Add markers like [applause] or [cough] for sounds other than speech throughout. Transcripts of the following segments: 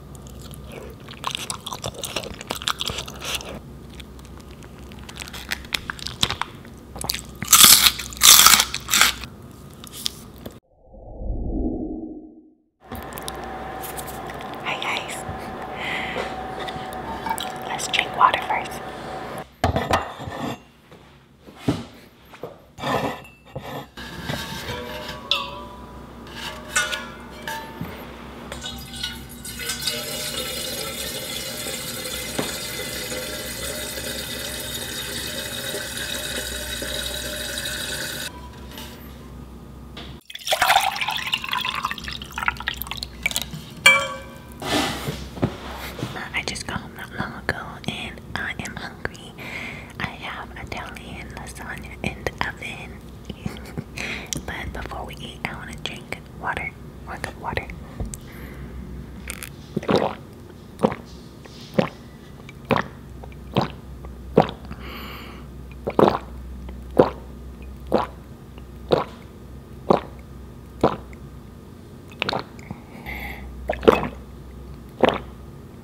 Hi guys, let's drink water first. I just got home not long ago and I am hungry I have a Italian lasagna in the oven. [laughs] but before we eat, I want to drink water. More than water.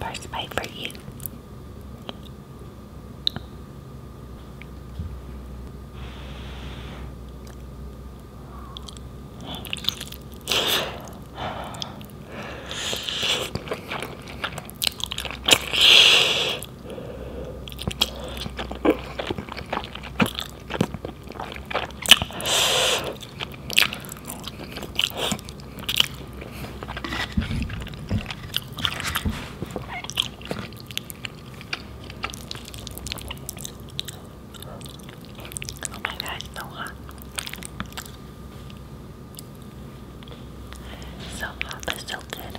First bite for you. Oh my god, it's so hot. So hot, but so good.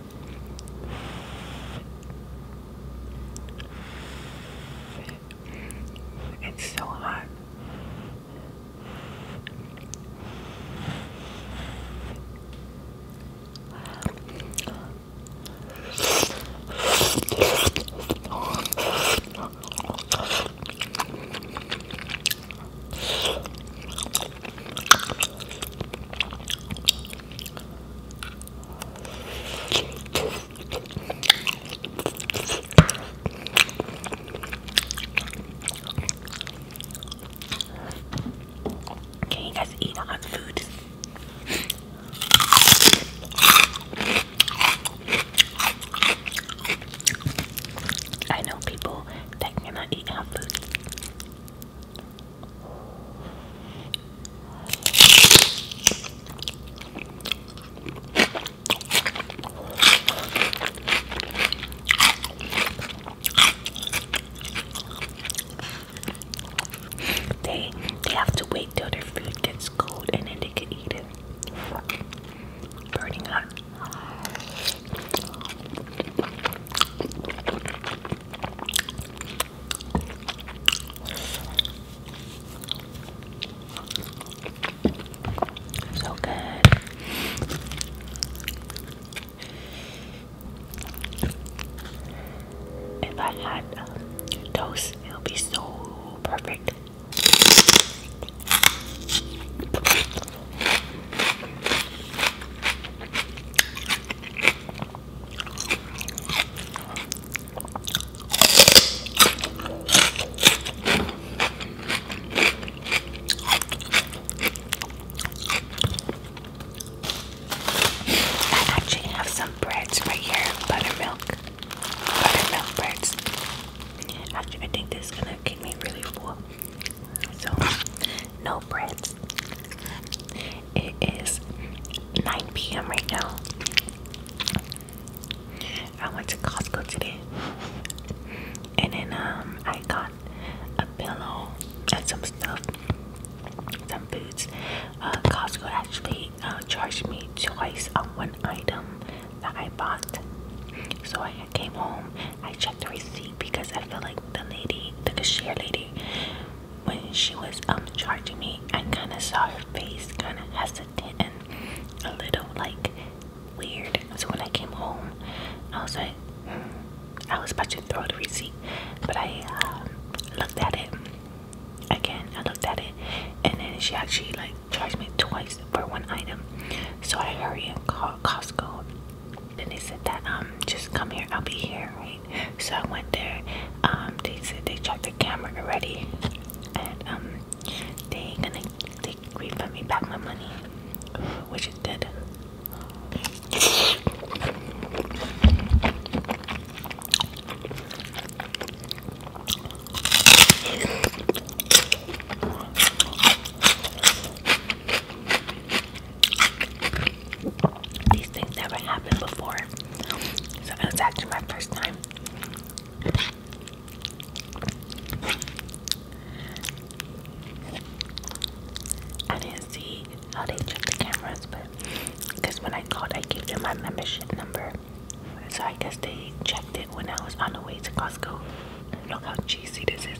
It's so hot. Can you guys eat hot food? I know people that cannot eat hot food. They they have to wait till their food gets cold and then they can eat it. Burning hot. So good. If I had um, toast, it would be so perfect. I actually have some breads right here, buttermilk, buttermilk breads. Actually, I think this is gonna keep me really full. So no bread. It is 9 p.m. right now. I went to Costco today, and then um, I got a pillow and some stuff, some boots. Uh, Costco actually uh, charged me twice on one item that I bought. So I came home. I checked the receipt because I feel like the lady, the cashier lady, when she was um charging me, I kind of saw her face kind of hesitant and a little like weird. So when I came home, I was like, hmm, I was about to throw the receipt, but I um, looked at it again. I looked at it, and then she actually like charged me twice for one item. So I hurry and called Costco then they said that um just come here, I'll be here, right? So I went there. Um, they said they checked the camera already, and um, they gonna they refund me back my money, which it did. These things never happened before. So it was actually my first time. I didn't see how they checked the cameras, but because when I called, I gave them my membership number. So I guess they checked it when I was on the way to Costco. Look how cheesy this is.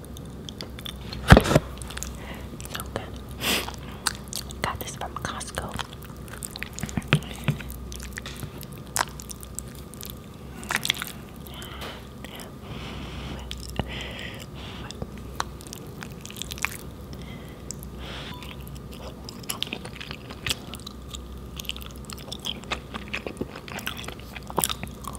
So good. Got this from Costco.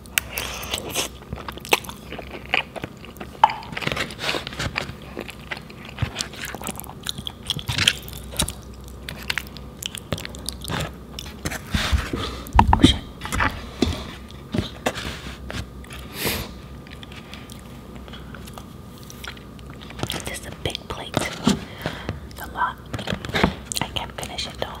Oh shit. This is a big plate. It's a lot. I can't finish it though.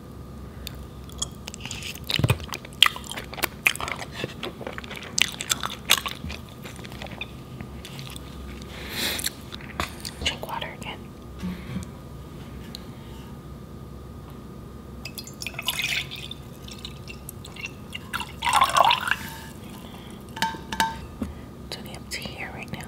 Drink water again. Mm -hmm. It's only up to here right now.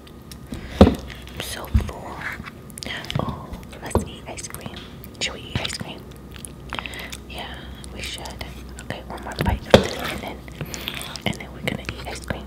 I'm so full. Oh, let's eat ice cream. Should we eat ice cream? Yeah, we should. Okay, one more bite and then and then we're gonna eat ice cream.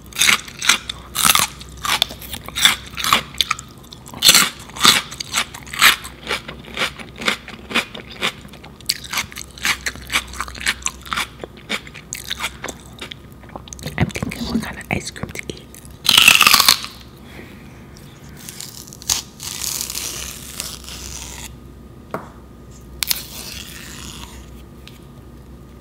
I'm thinking what kind of ice cream to eat.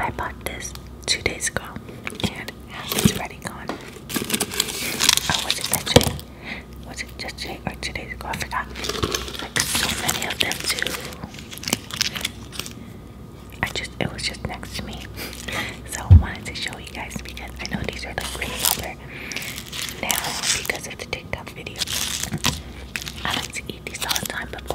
I bought this two days ago and it's already gone. Oh, was it that Was it just today or two days ago? I forgot. Like so many of them too. I just it was just next to me. So I wanted to show you guys because I know these are like really popular now because of the TikTok video. I like to eat these all the time before.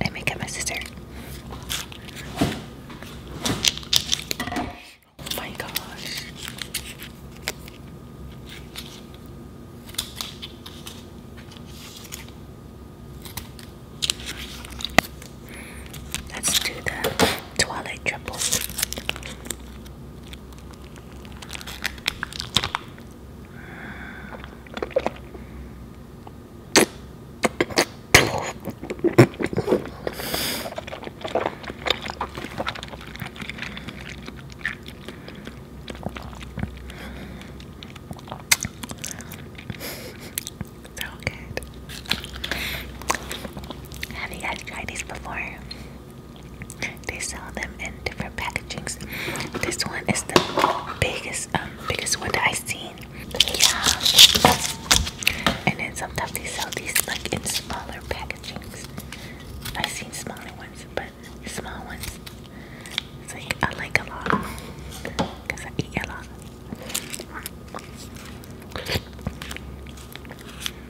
I make up my sister. Oh my gosh. Let's do that. Twilight Triple. so good. Have you guys tried these before? They sell them in different packagings. This one is the biggest, um, biggest one that I've seen. Yeah. And then sometimes they sell these like in smaller packagings. I've seen smaller ones, but small ones. It's I like a lot because I eat a lot.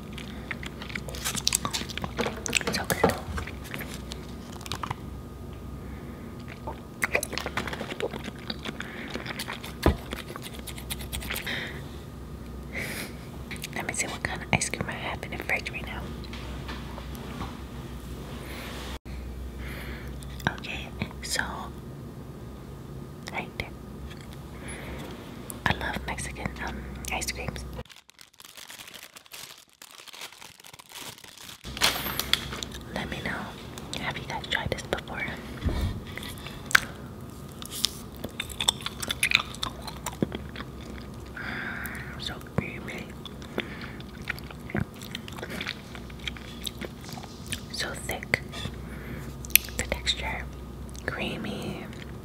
So good. Let me see what kind of ice cream I have in the fridge right now. Okay, so right there. I love Mexican um, ice creams. Let me know. Have you guys tried this before? Mm, so creamy. So thick. The texture. Creamy.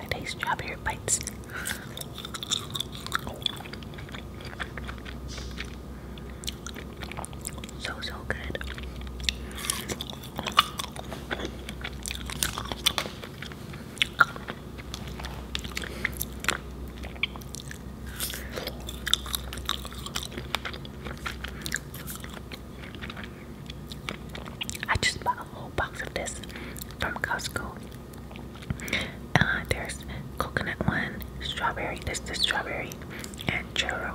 I taste strawberry bites. So, so good. I just bought a whole box of this from Costco. Uh, there's coconut one, strawberry, this the strawberry, and churro.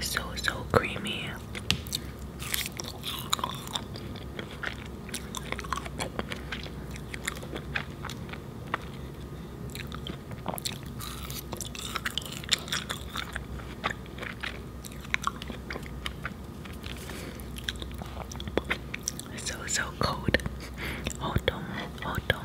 So, so creamy. So, so cold. [laughs] Hold on, hold on.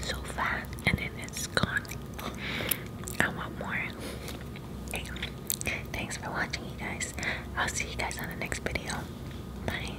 so fast and then it's gone. I want more. Hey, thanks for watching, you guys. I'll see you guys on the next video. Bye.